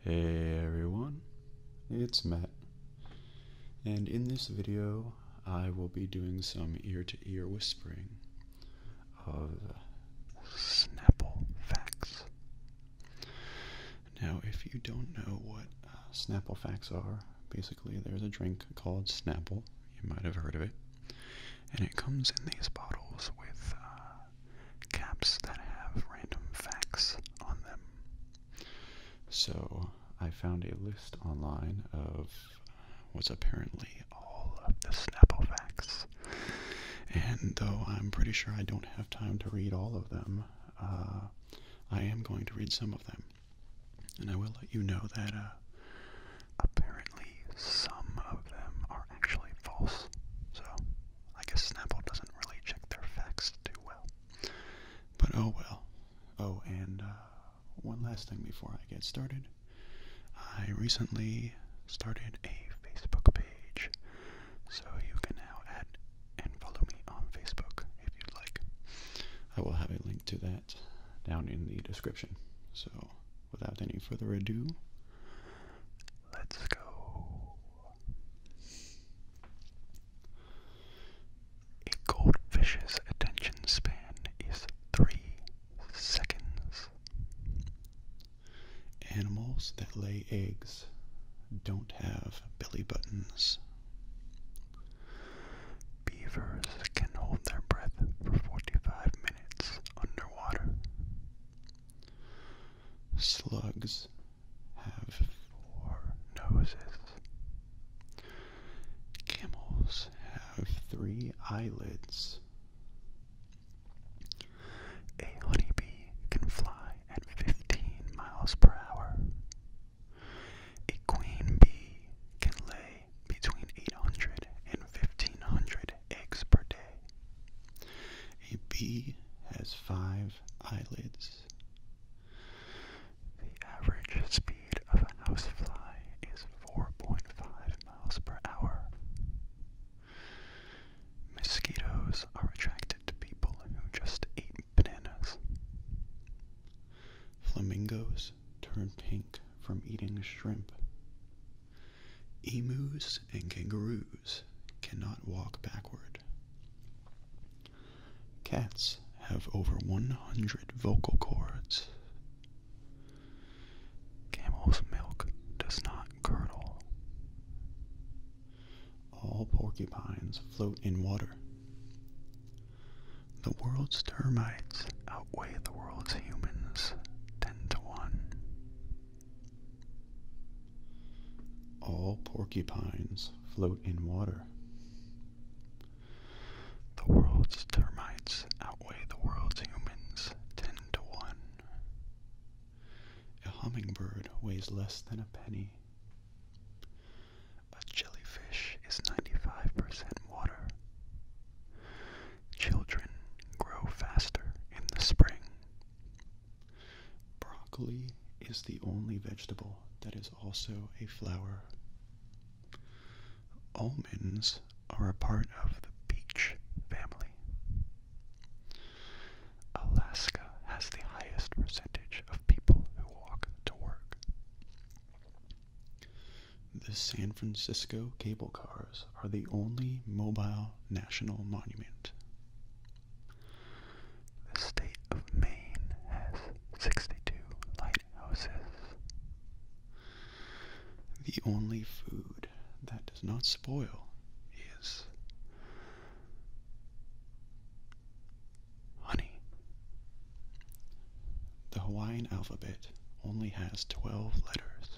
Hey everyone, it's Matt, and in this video I will be doing some ear-to-ear whispering of Snapple facts. Now if you don't know what uh, Snapple facts are, basically there's a drink called Snapple, you might have heard of it, and it comes in these bottles with uh, caps that have random facts on them. So I found a list online of what's apparently all of the Snapple facts. And though I'm pretty sure I don't have time to read all of them, uh, I am going to read some of them. And I will let you know that uh, apparently some of them are actually false. So I guess Snapple doesn't really check their facts too well. But oh well. Oh, and uh, one last thing before I get started. I recently started a Facebook page, so you can now add and follow me on Facebook if you'd like. I will have a link to that down in the description. So, without any further ado, let's go. A goldfish's attention span is three seconds. Animals that lay eggs don't have belly buttons. Beavers can hold their breath for 45 minutes underwater. Slugs have four noses. Camels have three eyelids. A honeybee can fly at 15 miles per hour. A queen bee can lay between 800 eggs per day. A bee has five eyelids. The average speed of a housefly is 4.5 miles per hour. Mosquitoes are attracted to people who just ate bananas. Flamingos turn pink from eating shrimp. Emus and kangaroos cannot walk backward. Cats have over 100 vocal cords. Camel's milk does not curdle. All porcupines float in water. The world's termites outweigh the world's humans 10 to 1. All porcupines float in water. The world's termites outweigh the world's humans 10 to 1. A hummingbird weighs less than a penny. A jellyfish is 95% water. Children grow faster in the spring. Broccoli is the only vegetable that is also a flower. Almonds are a part of the peach family. Alaska has the highest percentage of people who walk to work. The San Francisco cable cars are the only mobile national monument. The state of Maine has 62 lighthouses. The only food that does not spoil is honey. The Hawaiian alphabet only has 12 letters.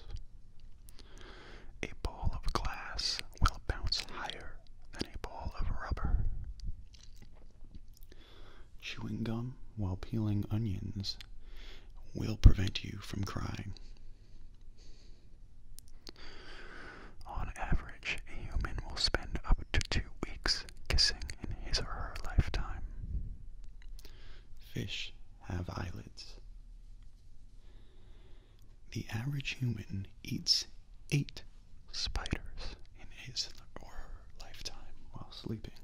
A ball of glass will bounce higher than a ball of rubber. Chewing gum while peeling onions will prevent you from crying. On average, a human will spend up to two weeks kissing in his or her lifetime. Fish have eyelids. The average human eats eight spiders in his or her lifetime while sleeping.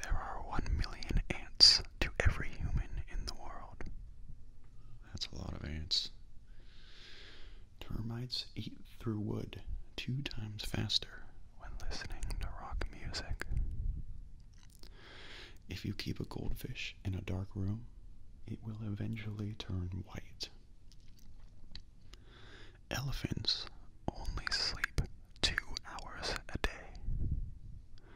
There are one million ants to every human in the world. That's a lot of ants. Termites eat through wood two times faster when listening to rock music. If you keep a goldfish in a dark room, it will eventually turn white. Elephants only sleep two hours a day.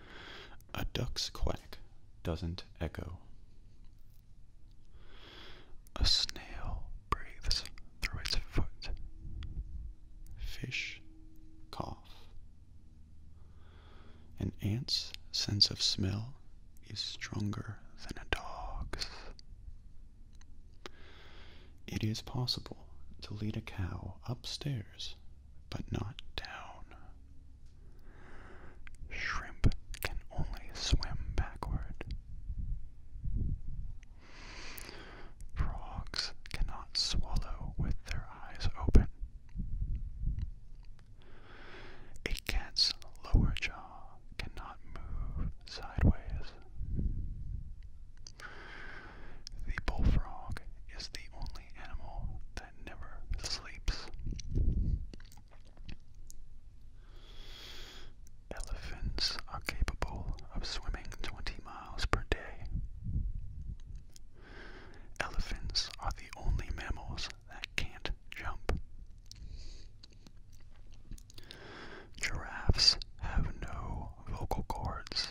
A duck's quack doesn't echo. A snail breathes through its foot. Fish cough an ant's sense of smell is stronger than a dog's. It is possible to lead a cow upstairs, but not down. Shrimp can only swim backward. Frogs cannot swallow with their eyes open. A cat's lower jaw cannot move sideways. The bullfrog is the only animal that never sleeps. Elephants are capable of swimming 20 miles per day. Elephants are the only mammals that can't jump. Giraffes have no vocal cords.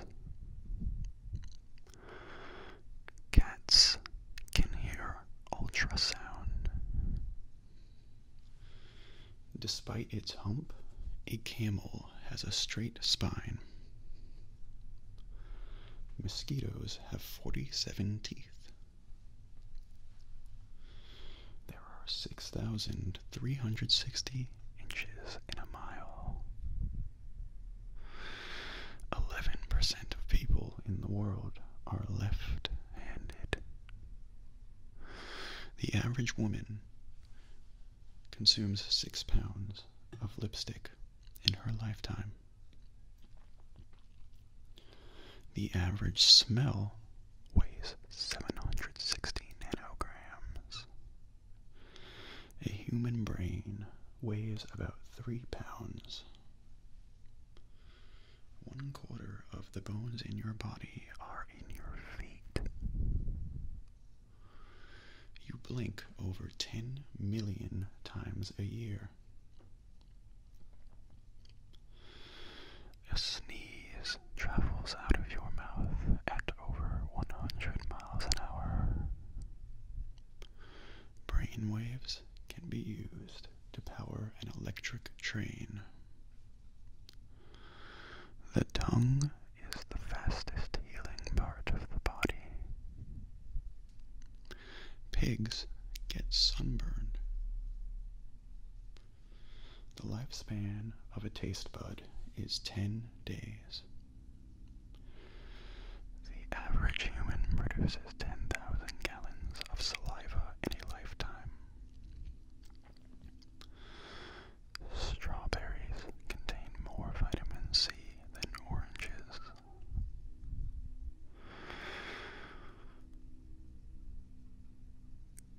Cats can hear ultrasound. Despite its hump, a camel has a straight spine. Mosquitoes have 47 teeth. There are 6,360 inches in a mile. 11% of people in the world are left handed. The average woman consumes six pounds of lipstick in her lifetime. The average smell weighs seven hundred sixteen nanograms. A human brain weighs about 3 pounds. One quarter of the bones in your body are in your feet. You blink over 10 million times a year. A sneeze travels out of your mouth at over 100 miles an hour. Brain can be used to power an electric train. The tongue is the fastest healing part of the body. Pigs get sunburned. The lifespan of a taste bud is 10 days. The average human produces 10,000 gallons of saliva in a lifetime. Strawberries contain more vitamin C than oranges.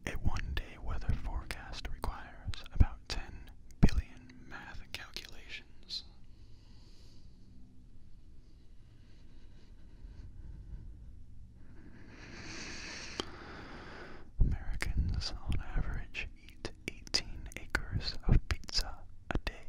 A one day weather forecast requires about 10 billion math calculations. Americans, on average, eat 18 acres of pizza a day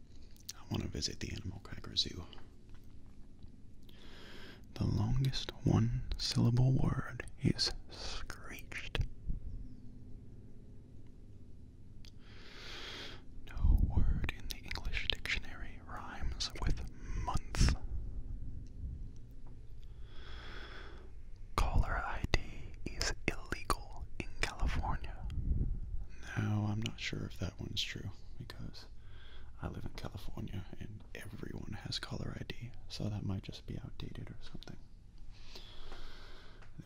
I want to visit the Animal Cracker Zoo. The longest one syllable word is screeched. No word in the English dictionary rhymes with month. Caller ID is illegal in California. No, I'm not sure if that one's true because I live in California and everyone has color ID, so that might just be outdated or something.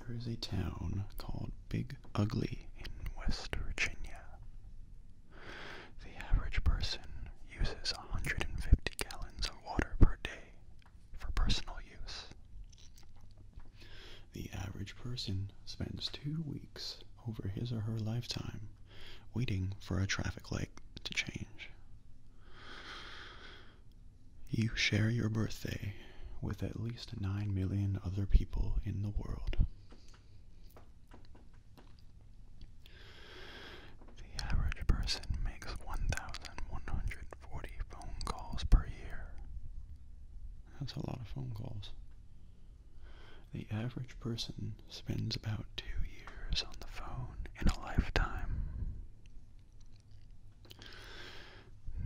There is a town called Big Ugly in West Virginia. The average person uses 150 gallons of water per day for personal use. The average person spends two weeks over his or her lifetime waiting for a traffic light to change. You share your birthday with at least 9 million other people in the world. The average person makes 1,140 phone calls per year. That's a lot of phone calls. The average person spends about two years on the phone in a lifetime.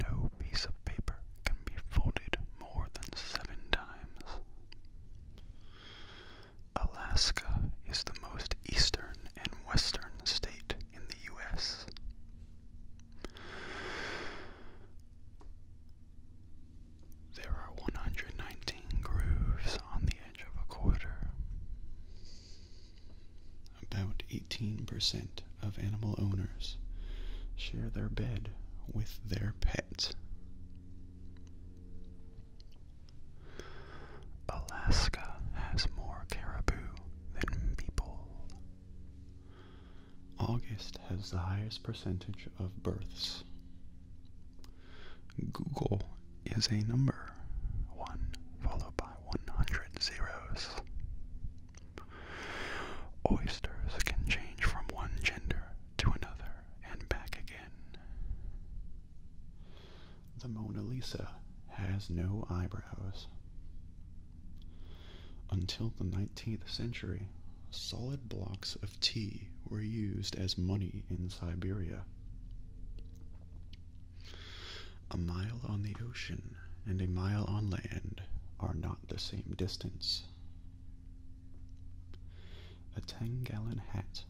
No piece of paper can be folded more than seven times. Alaska is the most eastern and western state in the U.S. There are 119 grooves on the edge of a quarter. About 18% of animal owners share their bed with their pet. Alaska has more caribou than people. August has the highest percentage of births. Google is a number, one followed by 100 zeros. Oysters can change from one gender to another and back again. The Mona Lisa has no eyebrows. Until the 19th century, solid blocks of tea were used as money in Siberia. A mile on the ocean and a mile on land are not the same distance. A 10 gallon hat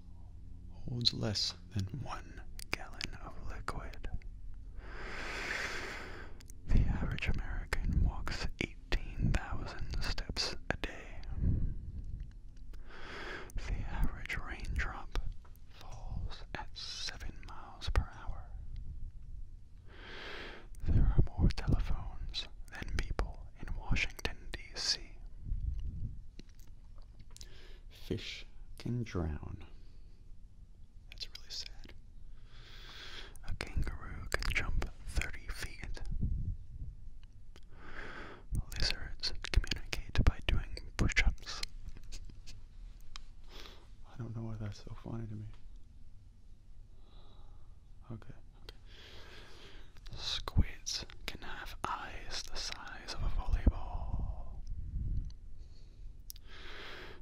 holds less than one gallon of liquid. The average American walks 18,000 steps a day. The average raindrop falls at 7 miles per hour. There are more telephones than people in Washington, D.C. Fish can drown. That's really sad. A kangaroo can jump 30 feet. Lizards communicate by doing push ups. I don't know why that's so funny to me. Okay, Squids can have eyes the size of a volleyball.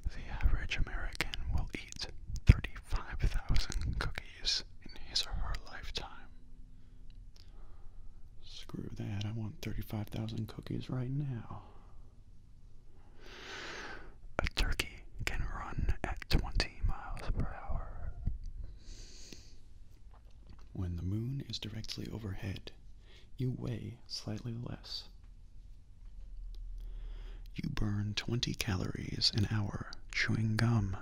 The average American will eat 30 5,000 cookies in his or her lifetime. Screw that, I want 35,000 cookies right now. A turkey can run at 20 miles per hour. When the moon is directly overhead, you weigh slightly less. You burn 20 calories an hour chewing gum.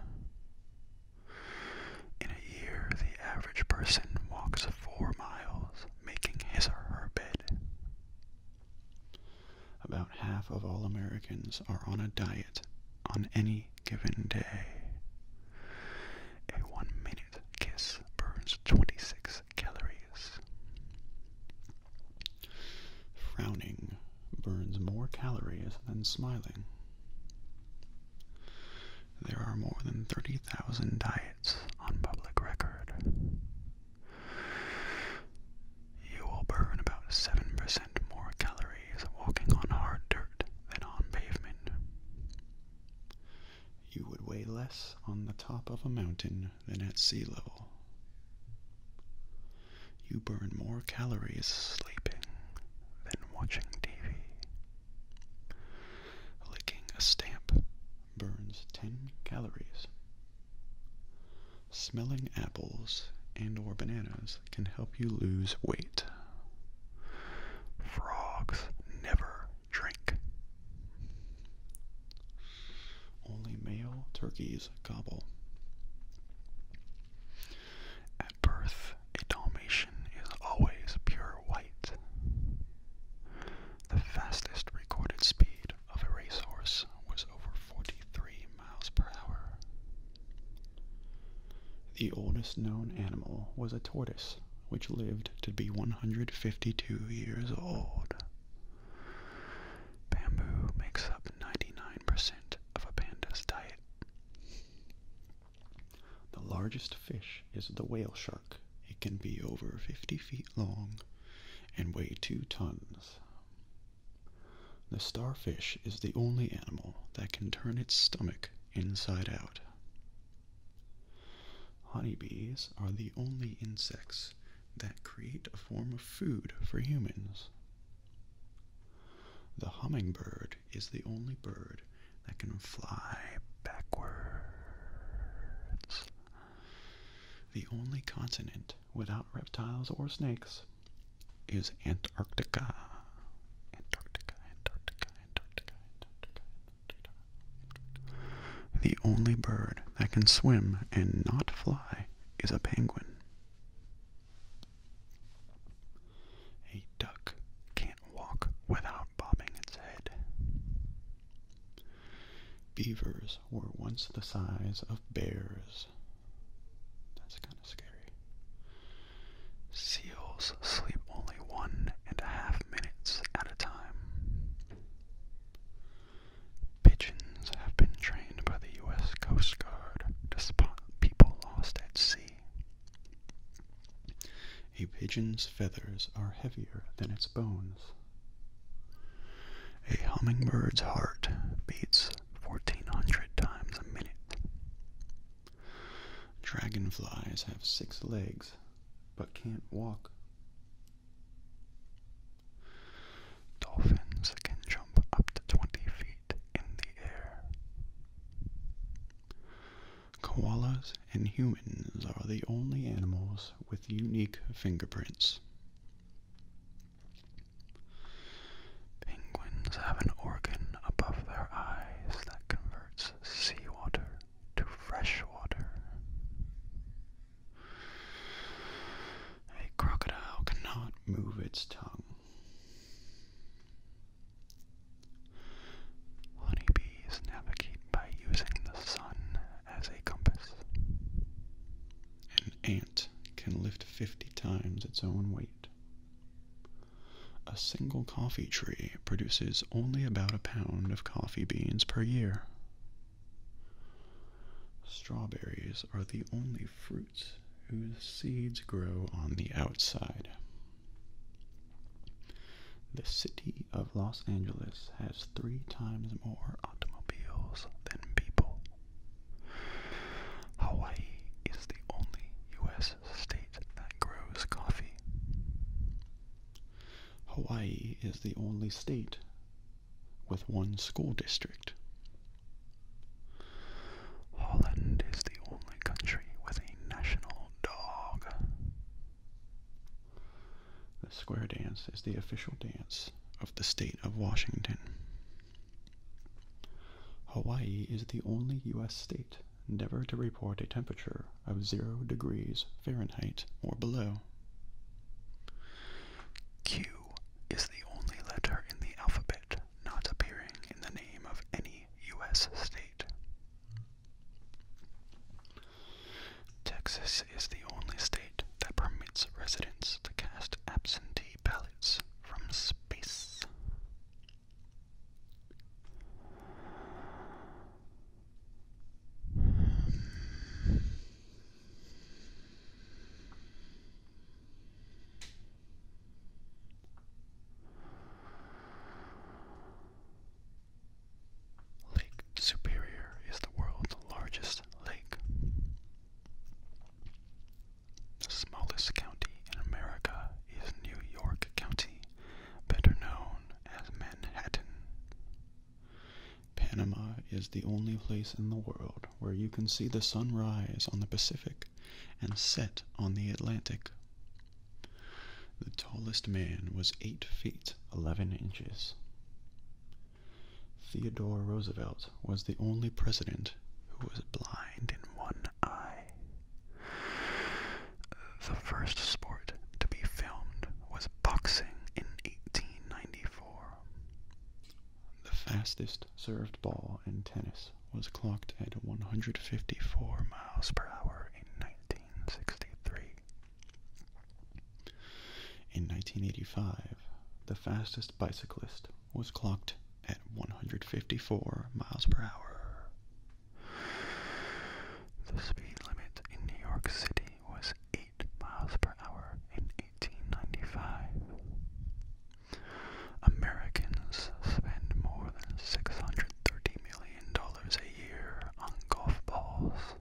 In a year, the average person walks 4 miles, making his or her bed. About half of all Americans are on a diet on any given day. A one minute kiss burns 26 calories. Frowning burns more calories than smiling. There are more than 30,000 diets on public record. You will burn about 7% more calories walking on hard dirt than on pavement. You would weigh less on the top of a mountain than at sea level. You burn more calories sleeping than watching TV. Licking a stamp burns 10 calories. Smelling apples and or bananas can help you lose weight. Frogs never drink. Only male turkeys gobble. At birth, a Dalmatian is always pure white. The fastest recorded speed of a racehorse was over 43 miles per hour. The oldest known animal was a tortoise, which lived to be 152 years old. Bamboo makes up 99% of a panda's diet. The largest fish is the whale shark. It can be over 50 feet long and weigh 2 tons. The starfish is the only animal that can turn its stomach inside out. Honeybees are the only insects that create a form of food for humans. The hummingbird is the only bird that can fly backwards. The only continent without reptiles or snakes is Antarctica. Antarctica, Antarctica, Antarctica, Antarctica, Antarctica. Antarctica. The only bird that can swim and not fly is a penguin. A duck can't walk without bobbing its head. Beavers were once the size of bears. That's kind of scary. Seals sleep only one and a half minutes at a time. Pigeons have been trained by the U.S. Coast Guard to spot people lost at sea. A pigeon's feathers are heavier than its bones. A hummingbird's heart beats 1400 times a minute. Dragonflies have six legs but can't walk. Dolphins can jump up to 20 feet in the air. Koalas and humans are the only animals with unique fingerprints. Penguins have an organ above their eyes that converts seawater to fresh water. A crocodile cannot move its tongue. Honeybees navigate by using the sun as a compass. An ant can lift 50 times its own weight. A single coffee tree produces only about a pound of coffee beans per year, Strawberries are the only fruits whose seeds grow on the outside. The city of Los Angeles has three times more automobiles than people. Hawaii is the only U.S. state that grows coffee. Hawaii is the only state with one school district. Holland is the only country with a national dog. The square dance is the official dance of the state of Washington. Hawaii is the only U.S. state never to report a temperature of zero degrees Fahrenheit or below. Q is the only letter in the alphabet not appearing in the name of any U.S. state. Texas is the only state that permits residents to cast absentee ballots from space. Hmm. Lake Superior is the world's largest lake. The smallest county in America is New York County, better known as Manhattan. Panama is the only place in the world where you can see the sun rise on the Pacific and set on the Atlantic. The tallest man was 8 feet 11 inches. Theodore Roosevelt was the only president who was blind in one eye. The first sport to be filmed was boxing in 1894. The fastest served ball in tennis was clocked at 154 miles per hour in 1963. In 1985, the fastest bicyclist was clocked at 154 miles per hour. The speed limit in New York City was 8 miles per hour 1895. Americans spend more than $630 million a year on golf balls.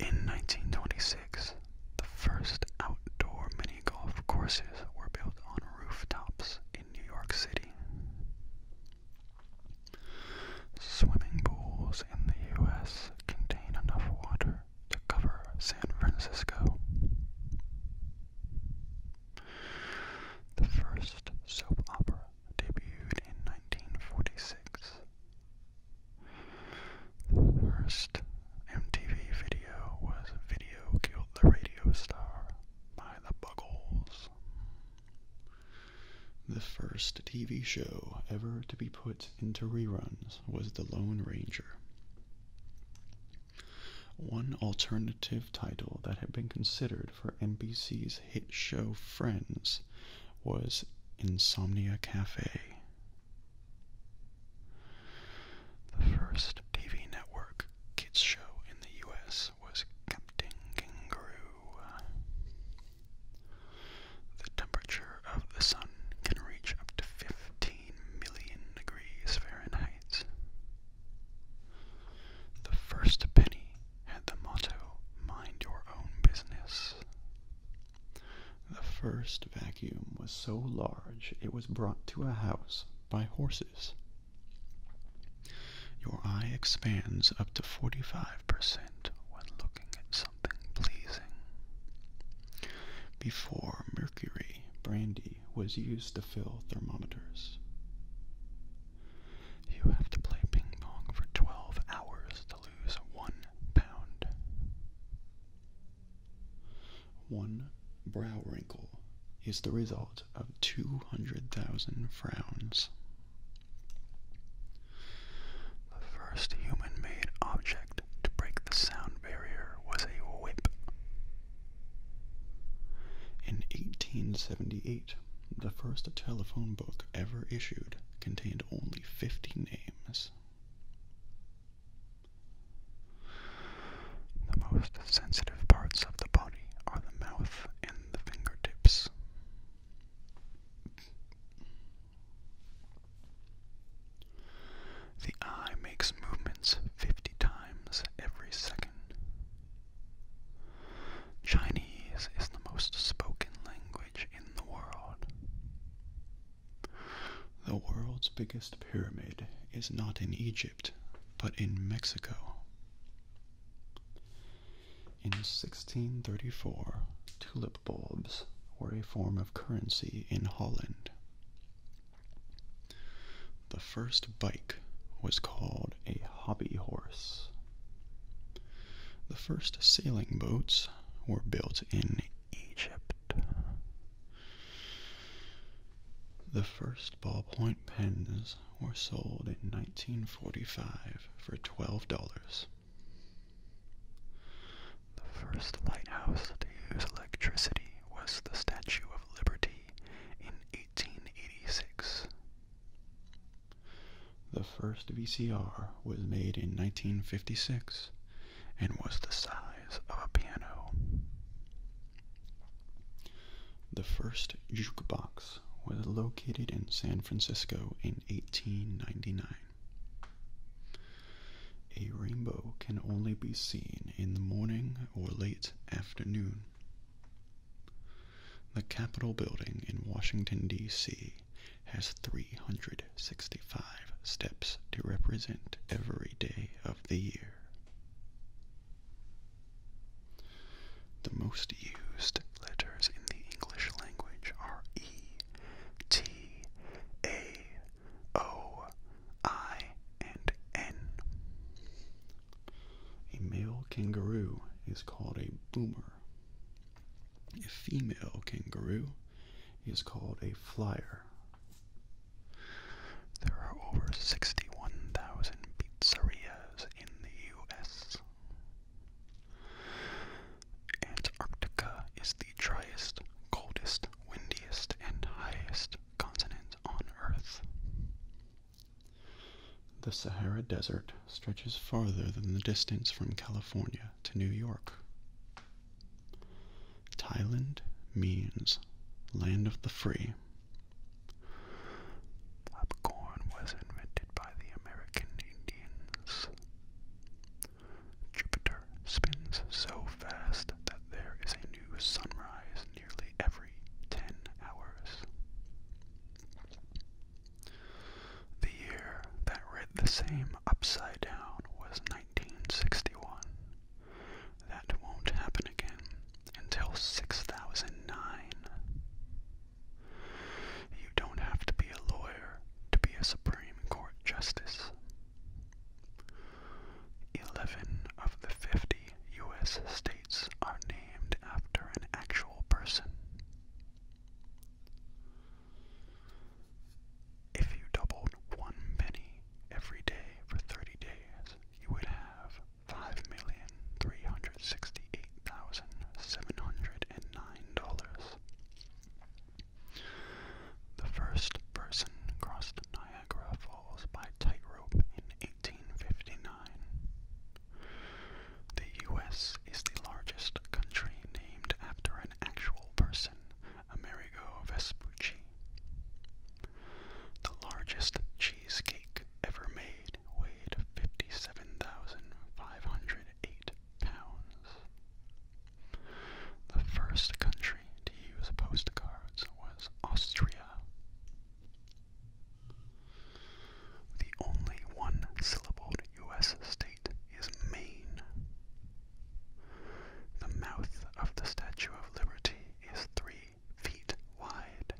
In 1926, the first outdoor mini golf courses were built on rooftops in New York City. Swimming pools in the U.S. contain enough water to cover San Francisco. The first soap opera debuted in 1946. The first MTV video was Video Killed the Radio Star by the Buggles. The first TV show ever to be put into reruns was The Lone Ranger. One alternative title that had been considered for NBC's hit show Friends was Insomnia Cafe. The first TV network kids show in the US was Captain Kangaroo. The temperature of the sun can reach up to 15 million degrees Fahrenheit. The first penny had the motto, Mind your own business. The first vacuum was so large it was brought to a house by horses. Your eye expands up to 45 when looking at something pleasing. Before mercury, brandy was used to fill thermometers. You have to play ping pong for 12 hours to lose one pound. One brow wrinkle is the result of 200,000 frowns. The first human-made object to break the sound barrier was a whip. In 1878, the first telephone book ever issued contained only 50 names. The most sensitive parts of the body are the mouth and the fingertips. The eye makes movements 50 times every second. Chinese is the most spoken language in the world. The world's biggest pyramid is not in Egypt, but in Mexico. In 1634, tulip tulip bulbs were a form of currency in Holland. The first bike was called a hobby horse. The first sailing boats were built in Egypt. The first ballpoint pens were sold in 1945 for $12. The first lighthouse to use electricity was the Statue of Liberty in 1886. The first VCR was made in 1956 and was the size of a piano. The first jukebox was located in San Francisco in 1899. A rainbow can only be seen in the morning or late afternoon. The Capitol building in Washington, D.C. has 365 steps to represent every day of the year. The most used letters in the English language are E, T, T A O I and N. A male kangaroo is called a boomer. A female kangaroo is called a flyer. There are over 61,000 pizzerias in the U.S. Antarctica is the driest, coldest, windiest, and highest continent on Earth. The Sahara Desert stretches farther than the distance from California to New York. Thailand means land of the free. Popcorn was invented by the American Indians. Jupiter spins so fast that there is a new sunrise nearly every 10 hours. The year that read the same upside down was 1961. That won't happen again until 6009 you don't have to be a lawyer to be a Supreme Court Justice. 11 of the 50 U.S. states are named after an actual person. If you doubled one penny every day for 30 days, you would have $5,368,709. The first person crossed Niagara Falls by tightrope in 1859. The U.S. is the largest country named after an actual person, Amerigo Vespucci. The largest cheesecake ever made weighed 57,508 pounds. The first country to use postcards was Austria. The only one syllabled U.S. state is Maine. The mouth of the Statue of Liberty is three feet wide.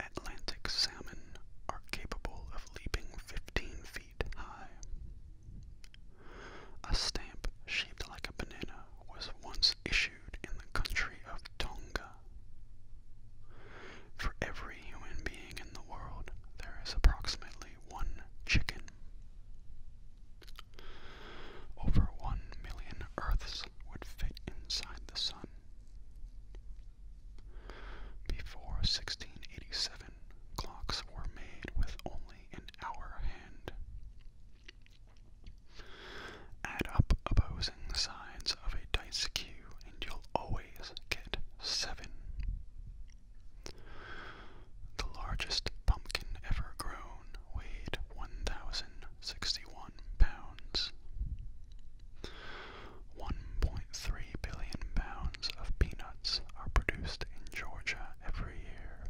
Atlantic salmon are capable of leaping 15 feet high. A stamp shaped like a banana was once issued in the country of Tonga. For every human being in the world, there is approximately one chicken. Over one million Earths would fit inside the sun. Before 1687, clocks were made with only an hour hand. Add up opposing sides of a dice cube and you'll always get seven. The largest pumpkin ever grown weighed 1,061 pounds. 1.3 billion pounds of peanuts are produced in Georgia every year.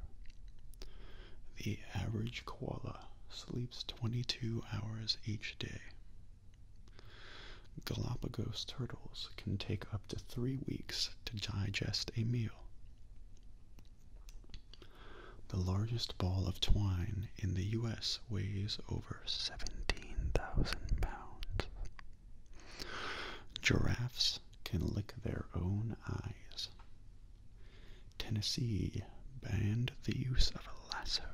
The average koala sleeps 22 hours each day. Galapagos turtles can take up to three weeks to digest a meal. The largest ball of twine in the U.S. weighs over 17,000 pounds. Giraffes can lick their own eyes. Tennessee banned the use of a lasso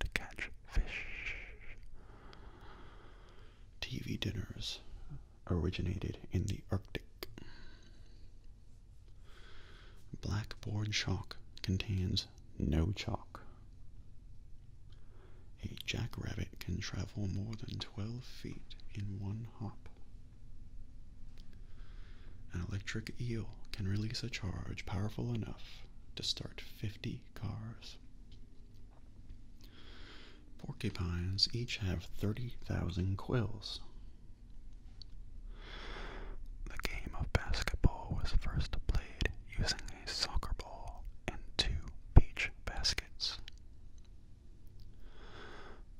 to catch fish. TV dinners originated in the Arctic. Blackboard chalk contains no chalk. A jackrabbit can travel more than 12 feet in one hop. An electric eel can release a charge powerful enough to start 50 cars. Porcupines each have 30,000 quills. The game of basketball was first played using a soccer ball and two beach baskets.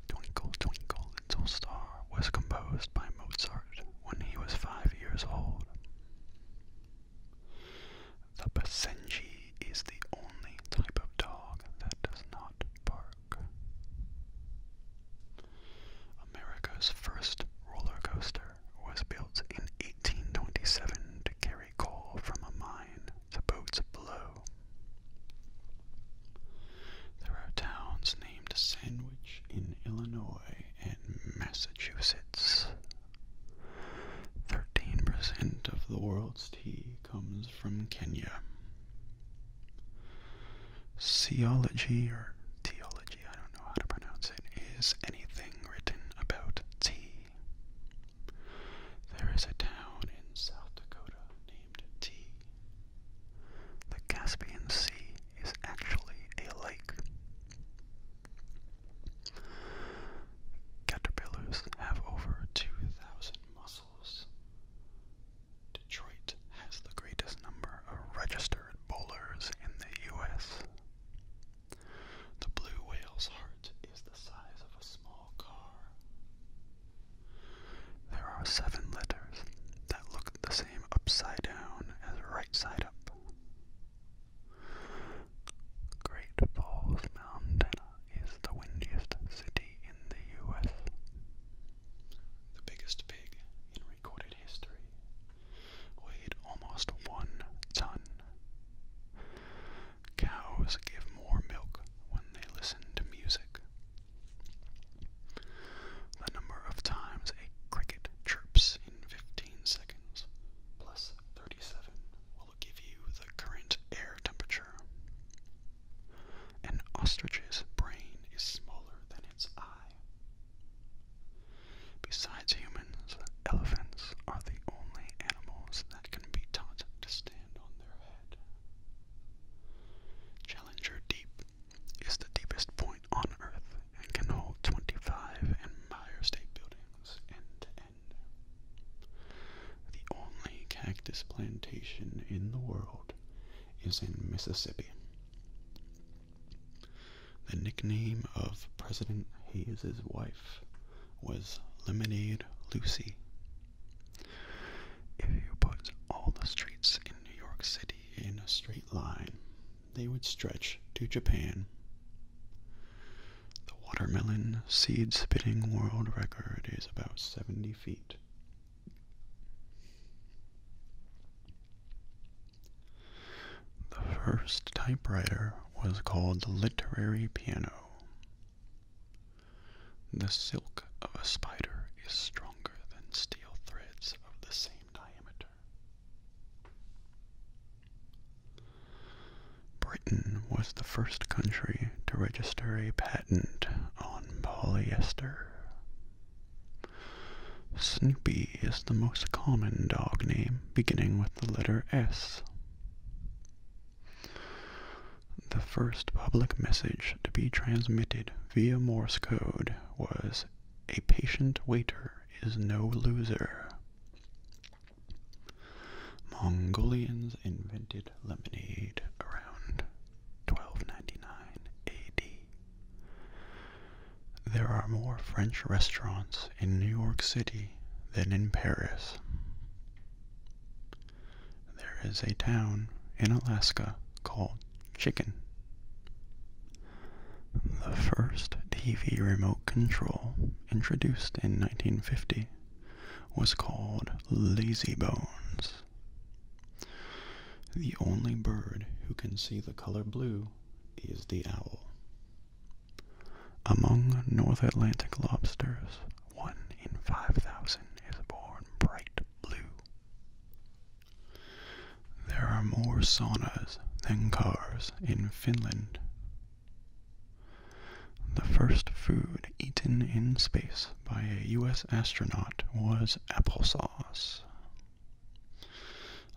Twinkle, Twinkle, Little Star was composed by Mozart when he was five years old. The Basenji is the only type of dog that does not bark. America's first roller coaster was built in 1827 coal from a mine to boats below. There are towns named Sandwich in Illinois and Massachusetts. 13% of the world's tea comes from Kenya. Seology or teology, I don't know how to pronounce it, is anything written about tea. There is a town in South Dakota named T. The Caspian Sea is actually a lake. Caterpillars have over 2,000 muscles. Detroit has the greatest number of registered bowlers in the U.S. The blue whale's heart is the size of a small car. There are seven letters that look the same upside down as right side up. Great Falls, Montana is the windiest city in the U.S. The biggest pig in recorded history weighed almost one ton. Cows give more milk when they listen to music. The number of times a cricket chirps in 15 seconds plus 37 will give you the current air temperature. An ostrich's brain is smaller than its eye. Besides human elephants are the only animals that can be taught to stand on their head. Challenger Deep is the deepest point on Earth and can hold 25 Empire State Buildings end to end. The only cactus plantation in the world is in Mississippi. The nickname of President Hayes's wife was Lemonade Lucy. If you put all the streets in New York City in a straight line, they would stretch to Japan. The watermelon seed spitting world record is about 70 feet. The first typewriter was called the literary piano. The silk of a spider is stronger than steel threads of the same diameter. Britain was the first country to register a patent on polyester. Snoopy is the most common dog name beginning with the letter S. The first public message to be transmitted via Morse code was A patient waiter is no loser. Mongolians invented lemonade around 1299 AD. There are more French restaurants in New York City country than in Paris. There is a town in Alaska called Chicken. The first TV remote control introduced in 1950 was called Lazybones. The only bird who can see the color blue is the owl. Among North Atlantic lobsters, one in 5,000 is born bright blue. There are more saunas than cars in Finland. The first food eaten in space by a U.S. astronaut was applesauce.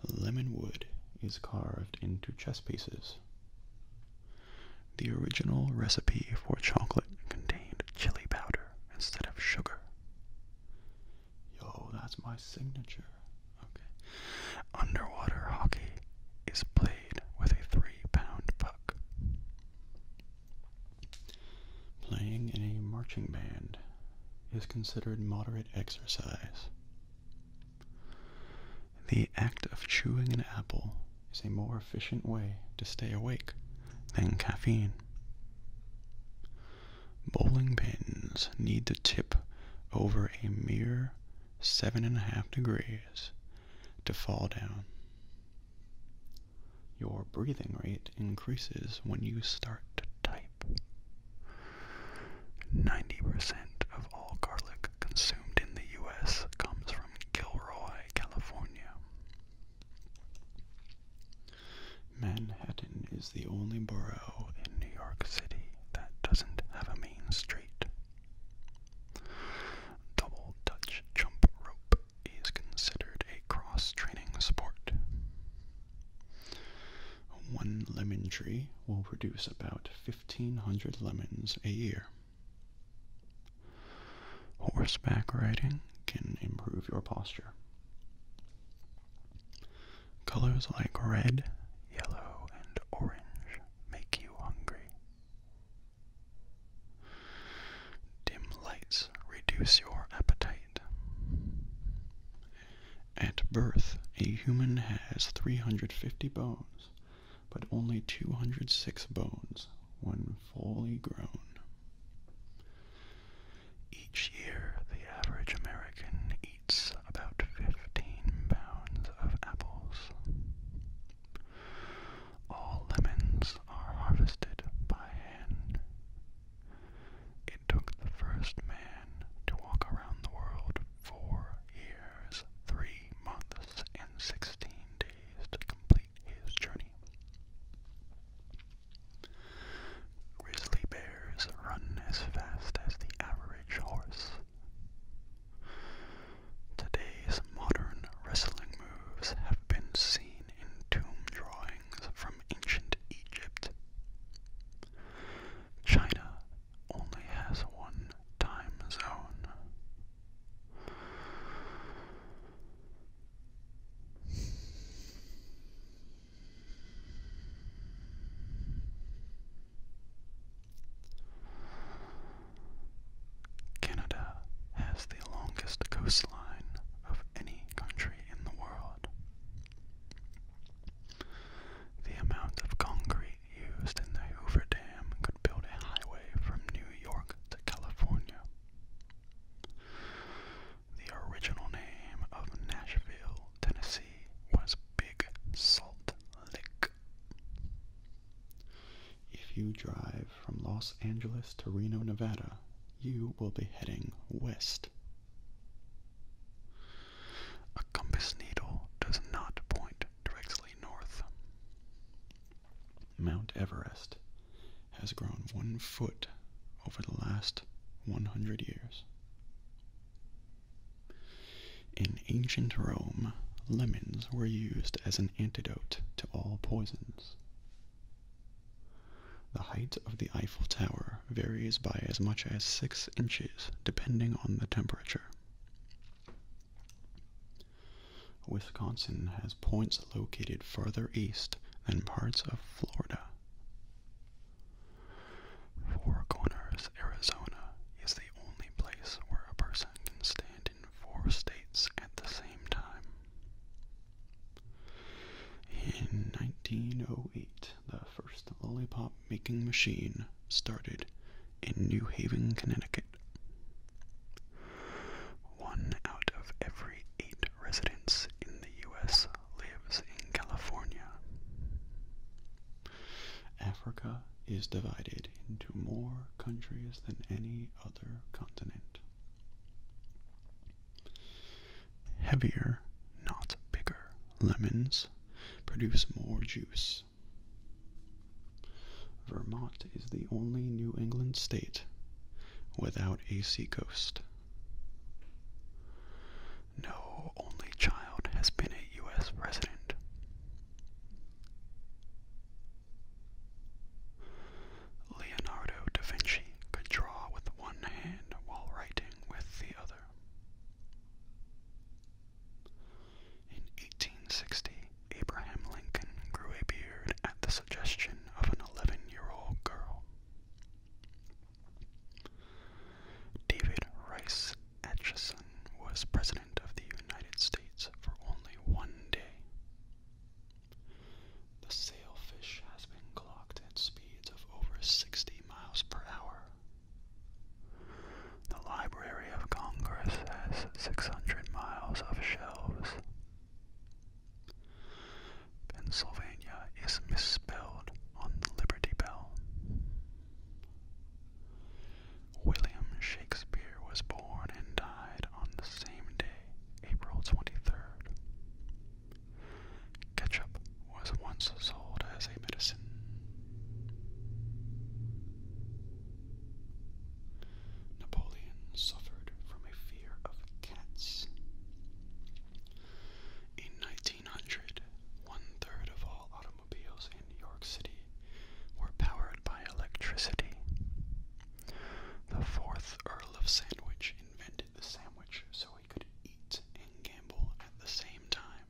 Lemon wood is carved into chess pieces the original recipe for chocolate contained chili powder instead of sugar. Yo, that's my signature. Okay. Underwater hockey is played with a three pound puck. Playing in a marching band is considered moderate exercise. The act of chewing an apple is a more efficient way to stay awake than caffeine. Bowling pins need to tip over a mere seven and a half degrees to fall down. Your breathing rate increases when you start to type. 90% of all garlic consumed in the U.S. comes from Gilroy, California. Manhattan is the only borough in New York City that doesn't have a main street. Double Dutch jump rope is considered a cross training sport. One lemon tree will produce about 1,500 lemons a year. Horseback riding can improve your posture. Colors like red, yellow, and orange make you hungry. Dim lights reduce your appetite. At birth, a human has 350 bones, but only 206 bones when fully grown. Each year, the average American eats about 15 pounds of apples. All lemons are harvested by hand. It took the first man to walk around the world four years three months and sixteen days to complete his journey. Grizzly bears run as fast as the average horse. Today's modern wrestling moves have been seen in tomb drawings from ancient Egypt. China only has one time zone. Canada has the longest coastline of any country in the world. The amount of concrete used in the Hoover Dam could build a highway from New York to California. The original name of Nashville, Tennessee was Big Salt Lick. If you drive from Los Angeles to Reno, Nevada, you will be heading west. A compass needle does not point directly north. Mount Everest has grown one foot over the last 100 years. In ancient Rome, lemons were used as an antidote to all poisons. The height of the Eiffel Tower varies by as much as six inches depending on the temperature. Wisconsin has points located further east than parts of Florida. Four Corners, Arizona is the only place where a person can stand in four states at the same time. In 1908, the first lollipop making machine started in New Haven, Connecticut. One out of every eight residents in the US lives in California. Africa is divided into more countries than any other continent. Heavier, not bigger, lemons produce more juice Vermont is the only New England state without a seacoast. No only child has been a U.S. president. Leonardo da Vinci could draw with one hand while writing with the other. In 1860, Abraham Lincoln grew a beard at the suggestion of an 11 year old girl. David Rice Atchison was President of the United States for only one day. The sailfish has been clocked at speeds of over 60 miles per hour. The Library of Congress has 600 miles of shelves. Pennsylvania is misspelled on the Liberty Bell. William Shakespeare was born and died on the same day, April 23rd. Ketchup was once sold as a medicine. Napoleon suffered from a fear of cats. In 1900, one third of all automobiles in New York City were powered by electricity. The fourth Earl of Sandwich invented the sandwich so he could eat and gamble at the same time.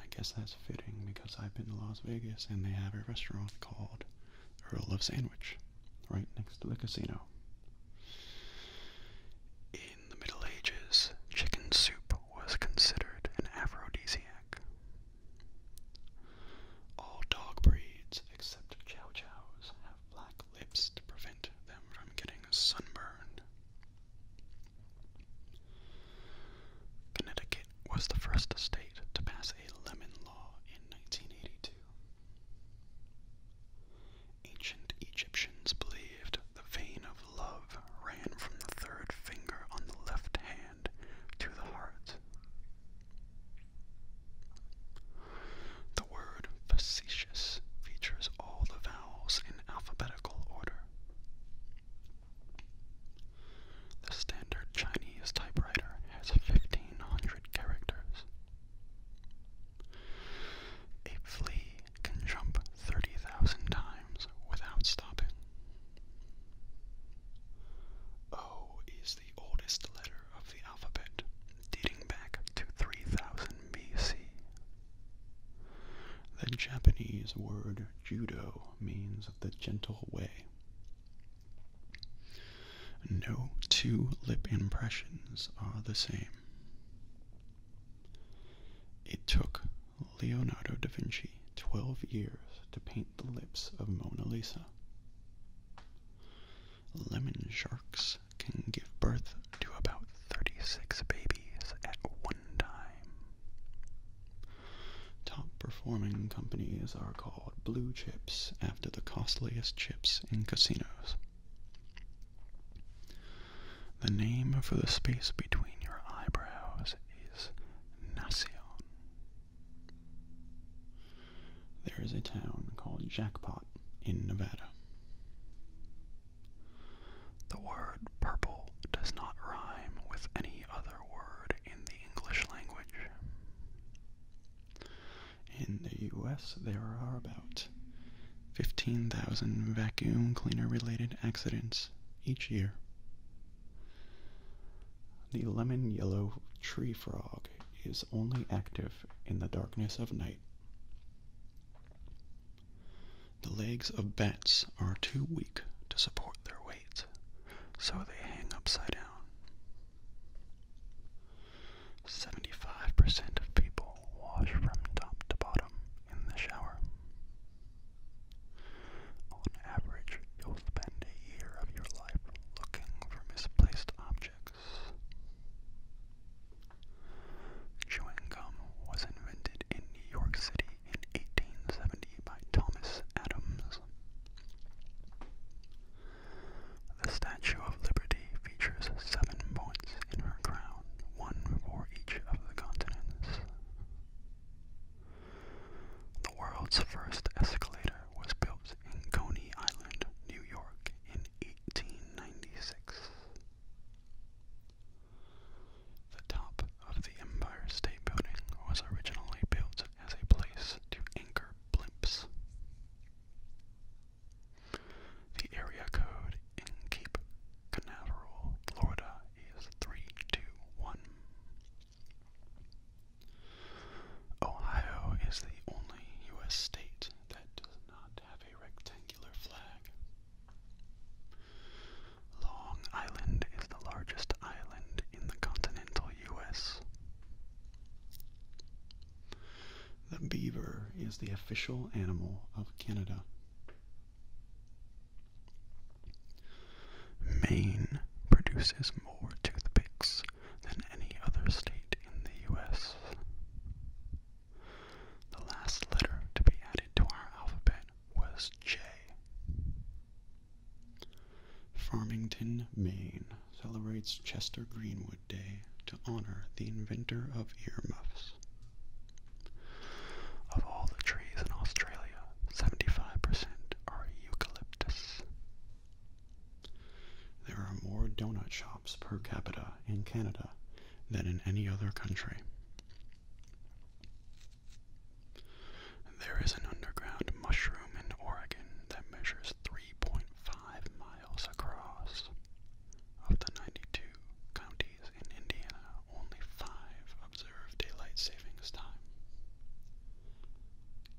I guess that's fitting because I've been to Las Vegas and they have a restaurant called Earl of Sandwich right next to the casino. In the Middle Ages, chicken soup was considered an aphrodisiac. All dog breeds except chow chows have black lips to prevent them from getting sunburned. Connecticut was the first state to pass a lemon law in 1982. Ancient Egyptians believed the vein of love ran from the third finger on the left hand to the heart. The word facetious features all the vowels in alphabetical order. The standard Chinese typewriter has 1500 characters. A flea can jump 30,000 times without stopping. O is the oldest letter of the alphabet, dating back to 3000 BC. The Japanese word judo means the gentle way. No two lip impressions are the same. It took Leonardo da Vinci 12 years to paint the lips of Mona Lisa. Lemon sharks can give birth to about 36 babies at one time. Top performing companies are called blue chips after the costliest chips in casinos. The name for the space between your eyebrows is nasion. There is a town called Jackpot in Nevada. The word purple does not rhyme with any other word in in the US, there are about 15,000 vacuum cleaner related accidents each year. The lemon yellow tree frog is only active in the darkness of night. The legs of bats are too weak to support their weight so they hang upside down. 75% of people wash from top to bottom in the shower. On average, you'll spend a year of your life looking for misplaced objects. Chewing gum was invented in New York City in 1870 by Thomas Adams. The Statue of Liberty features seven points in her crown, one for each of the continents. The world's first escalator was built in Coney Island, New York, in 1896. The top of the Empire State Building was originally built as a place to anchor blimps. The area code in Cape Canaveral, Florida is 321. Ohio is the only U.S. state that does not have a rectangular flag. Long Island is the largest island in the continental U.S. The beaver is the official animal of Canada. Maine produces more toothpicks than any other state in the U.S. The last letter to be added to our alphabet was J. Farmington, Maine celebrates Chester Greenwood Day to honor the inventor of earmuffs. Of all the trees in Australia, 75% are eucalyptus. There are more donut shops per capita in Canada than in any other country. There is an underground mushroom in Oregon that measures 3.5 miles across. Of the 92 counties in Indiana, only five observe daylight savings time.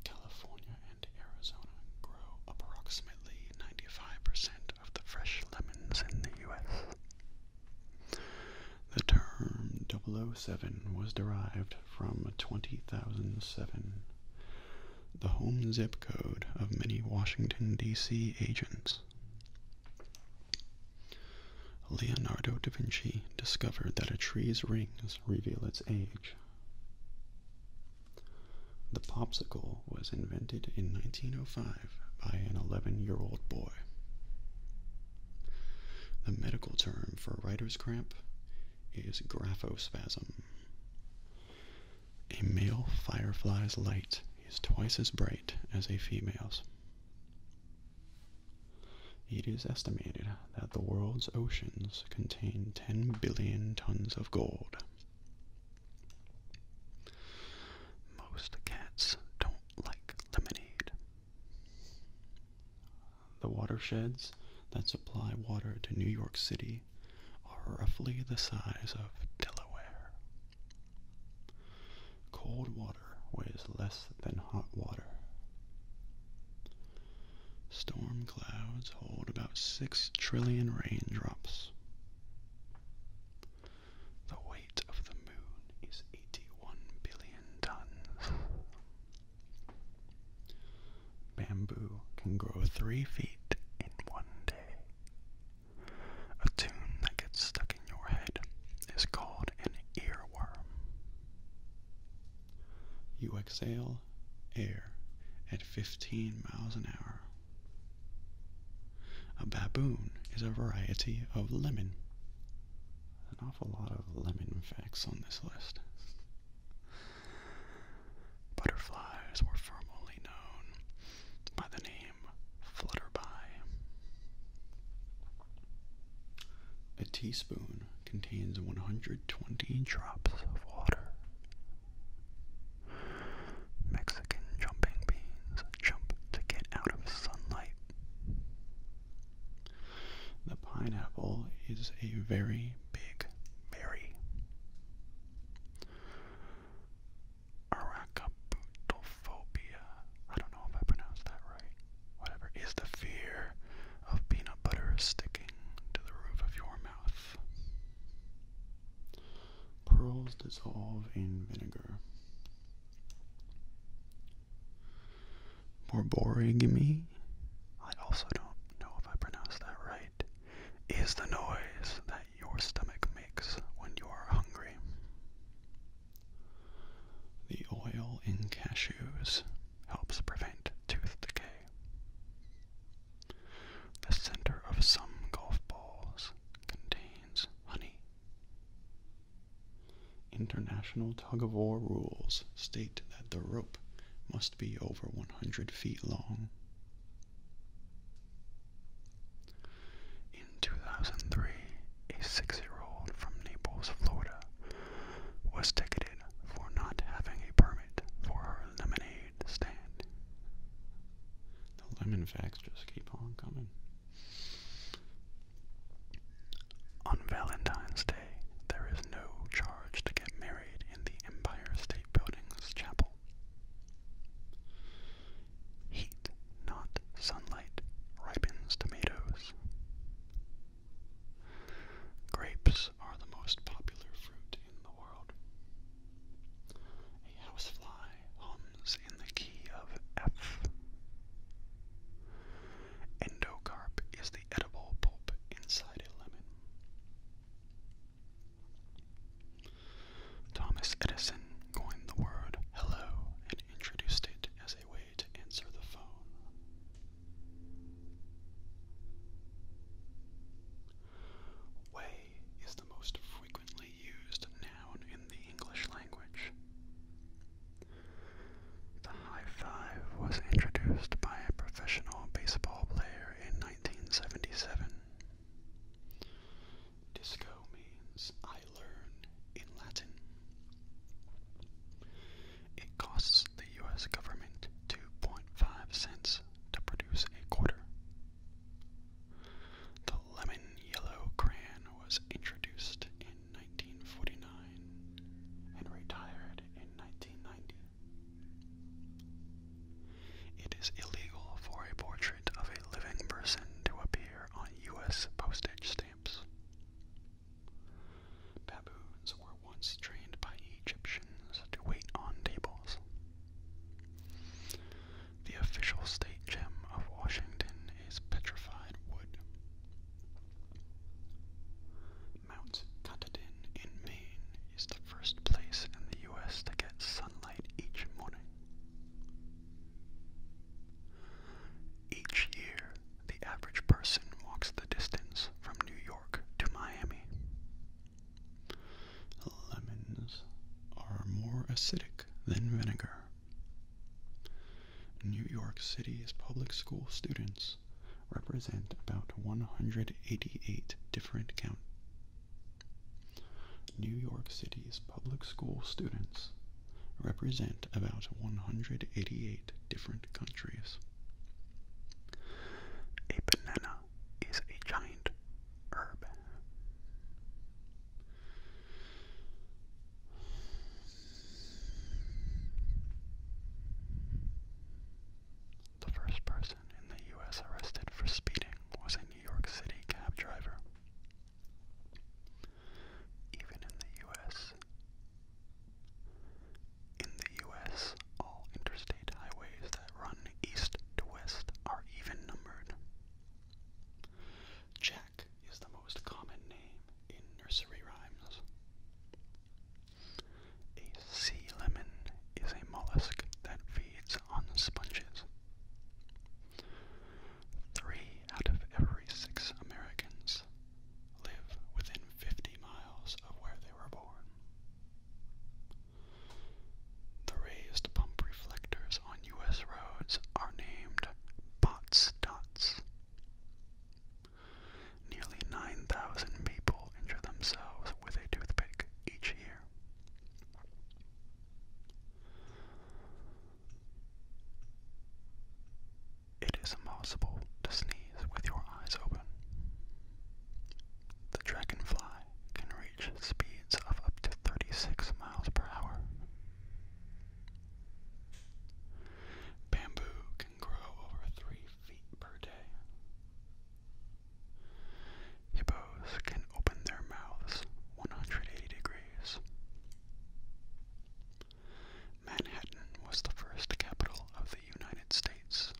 California and Arizona grow approximately 95% of the fresh lemons in the U.S. The term 007 was derived from 20,007, the home zip code of many Washington, D.C. agents. Leonardo da Vinci discovered that a tree's rings reveal its age. The popsicle was invented in 1905 by an 11 year old boy. The medical term for writer's cramp is graphospasm. A male firefly's light is twice as bright as a female's. It is estimated that the world's oceans contain 10 billion tons of gold. Most cats don't like lemonade. The watersheds that supply water to New York City are roughly the size of Delaware. Cold water weighs less than hot water. Storm clouds hold about 6 trillion raindrops. The weight of the moon is 81 billion tons. Bamboo can grow three feet in one day. A tune that gets stuck in your head is called an earworm. You exhale air at 15 miles an hour. A baboon is a variety of lemon an awful lot of lemon facts on this list. Butterflies were formerly known by the name flutterby. A teaspoon contains 120 drops of water. Mexican jumping beans jump to get out of sunlight. The pineapple is a very big berry. Aracaputophobia, I don't know if I pronounced that right, whatever, is the fear of peanut butter sticking to the roof of your mouth. Pearls dissolve in vinegar. Borborigmi, I also don't know if I pronounced that right, is the noise that your stomach makes when you are hungry. The oil in cashews helps prevent tooth decay. The center of some golf balls contains honey. International tug of war rules state that the rope must be over 100 feet long. In 2003, a six year old from Naples, Florida, was ticketed for not having a permit for her lemonade stand. The lemon facts just keep on coming. On Valentine's Day, there is no charge to get married in the Empire State Building's chapel. Heat, not sunlight, ripens tomatoes. Grapes are the most popular fruit in the world. A housefly hums in the key of F. Endocarp is the the Thomas Edison coined the word hello and introduced it as a way to answer the phone. Way is the most frequently used noun in the English language. The high five was introduced by a professional baseball player in 1977. Disco means I learn in Latin. It costs the US government 2.5 cents to produce a quarter. The lemon yellow crayon was introduced in 1949 and retired in 1990. It is illegal for a portrait of a living person to appear on U.S. postage stamps. Baboons were once trained by Egyptians to wait on tables. The official state gem of Washington is petrified wood. Mount Katahdin in Maine is the first place in the U.S. to get sunlight each morning. Each year, the average person walks the distance from New York to Miami. Lemons are more acidic than vinegar. New York City's public school students represent about 188 different counties. New York City's public school students represent about 188 different countries. A banana is a giant herb. The first person in the U.S. arrested for speeding was a New York City cab driver. Even in the U.S., in the U.S., all interstate highways that run east to west are even numbered. Jack is the most common name in nursery rhymes. A sea lemon is a mollusk that feeds on sponges. Three out of every six Americans live within 50 miles of where they were born. The raised pump reflectors on U.S. roads are named bots dots. Nearly 9,000 people injure themselves with a toothpick each year. It is impossible to sneeze with your eyes open. The dragonfly can reach speeds of up to 36 miles per hour. Bamboo can grow over three feet per day. Hippos can open their mouths 180 degrees. Manhattan was the first capital of the United States.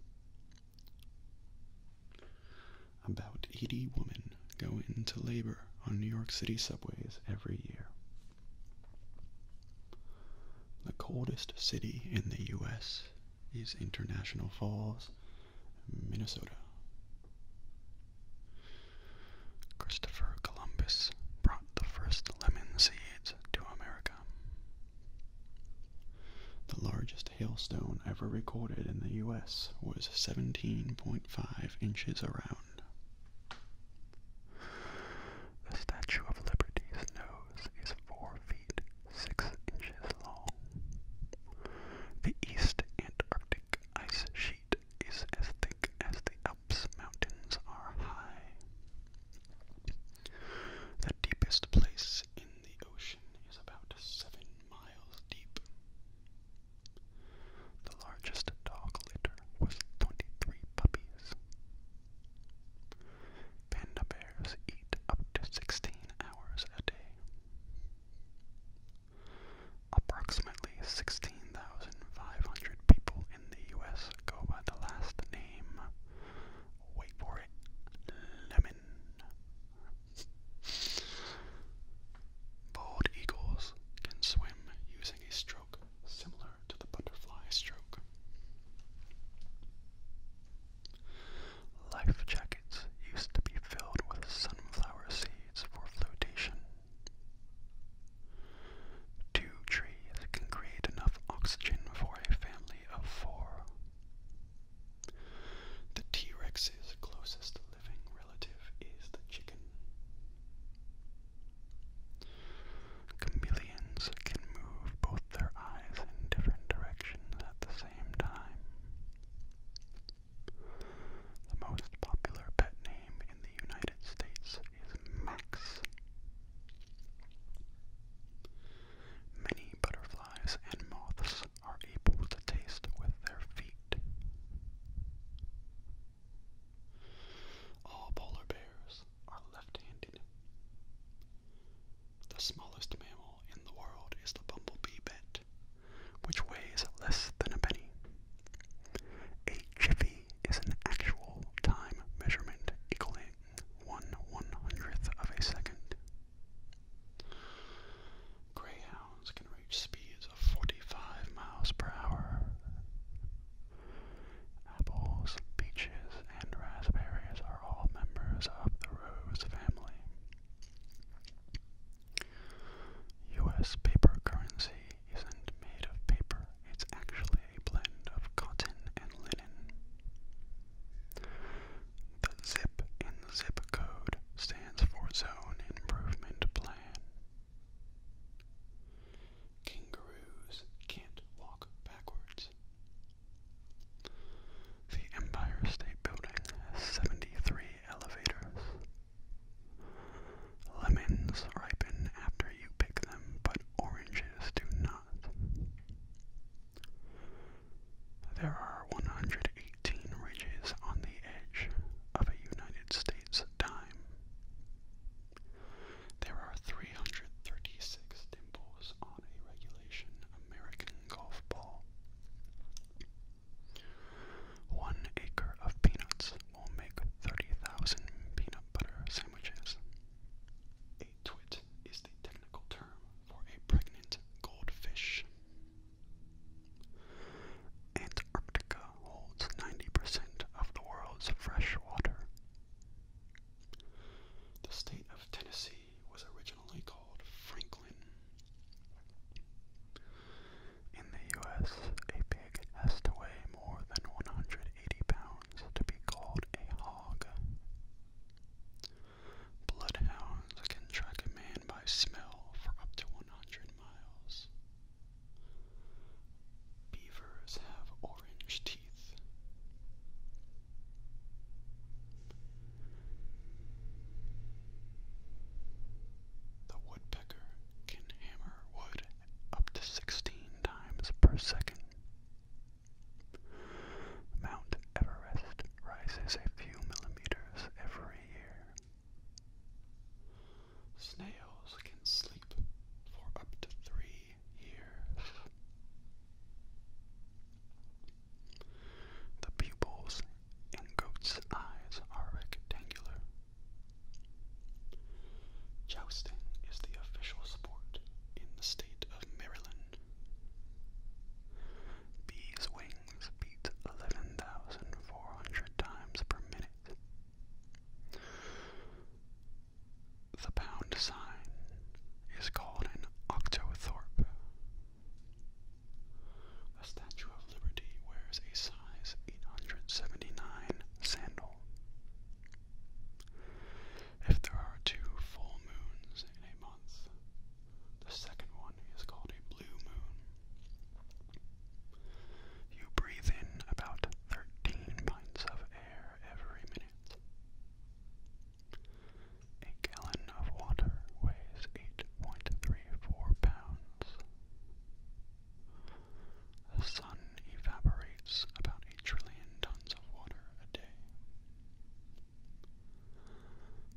About 80 women go into labor on New York City subways every year. The coldest city in the U.S. is International Falls, Minnesota. Christopher Columbus brought the first lemon seeds to America. The largest hailstone ever recorded in the U.S. was 17.5 inches around. The Statue of Liberty's nose is four feet six inches long. The East Antarctic ice sheet is as thick as the Alps mountains are high. The deepest place in the ocean is about seven miles deep. The largest dog litter was 23 puppies. Panda bears eat up to 16 hours a day. Approximately 16,500 people in the U.S. go by the last name. Wait for it. Lemon. Bald eagles can swim using a stroke similar to the butterfly stroke. Life jackets used to be filled with sunflower seeds for flotation. Two trees can create enough oxygen for a family of four. The T Rex's closest living relative is the chicken. Chameleons can move both their eyes in different directions at the same time. The most popular pet name in the United States is Max. Many butterflies and moths are able to taste with their feet. All polar bears are left-handed. The smallest mammal in the world is the bumblebee bat, which weighs less than a penny. A jiffy is an actual time measurement equaling one one hundredth of a second. Greyhounds can reach speeds of 45 miles per hour. Apples, peaches, and raspberries are all members of the rose family. U.S. paper currency isn't made of paper, it's actually a blend of cotton and linen. The ZIP in the ZIP code stands for Zone Improvement Plan. Kangaroos can't walk backwards. The Empire State Building has 73 elevators. Lemons ripen after you pick them, but oranges do not. There are 118 ridges on the edge of a United States dime. There are 336 dimples on a regulation American golf ball. One acre of peanuts will make 30,000 peanut butter sandwiches. A twit is the technical term for a pregnant goldfish. Antarctica holds 90% of the world's fresh water. The state of Tennessee was originally called Franklin. In the U.S., a pig has to weigh more than 180 pounds to be called a hog. Bloodhounds can track a man by smell for up to 100 miles. Beavers have orange teeth. The woodpecker can hammer wood up to 16 times per second. Mount Everest rises a few millimeters every year. Snails can sleep for up to three the pupils in goat's eyes are rectangular. Jousting is the official sport in the state of Maryland. Bees' wings beat 11,400 times per minute. The pound sign is called an octothorpe. A Statue of Liberty wears a size 879 sandal. If there are two full moons in a month, the second one is called a blue moon. You breathe in about 13 pints of air every minute. A gallon of water weighs 8.34 pounds. The sun evaporates about 8 trillion tons of water a day.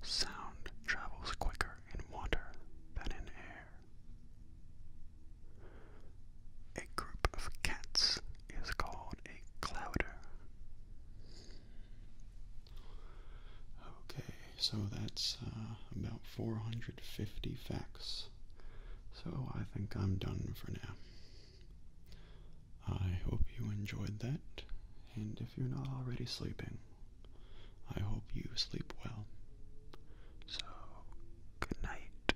Sound travels quicker in water than in air. A group of cats is called a clouder. Okay, so that's uh, about 450 facts. So I think I'm done for now. I hope you enjoyed that, and if you're not already sleeping, I hope you sleep well. So, good night.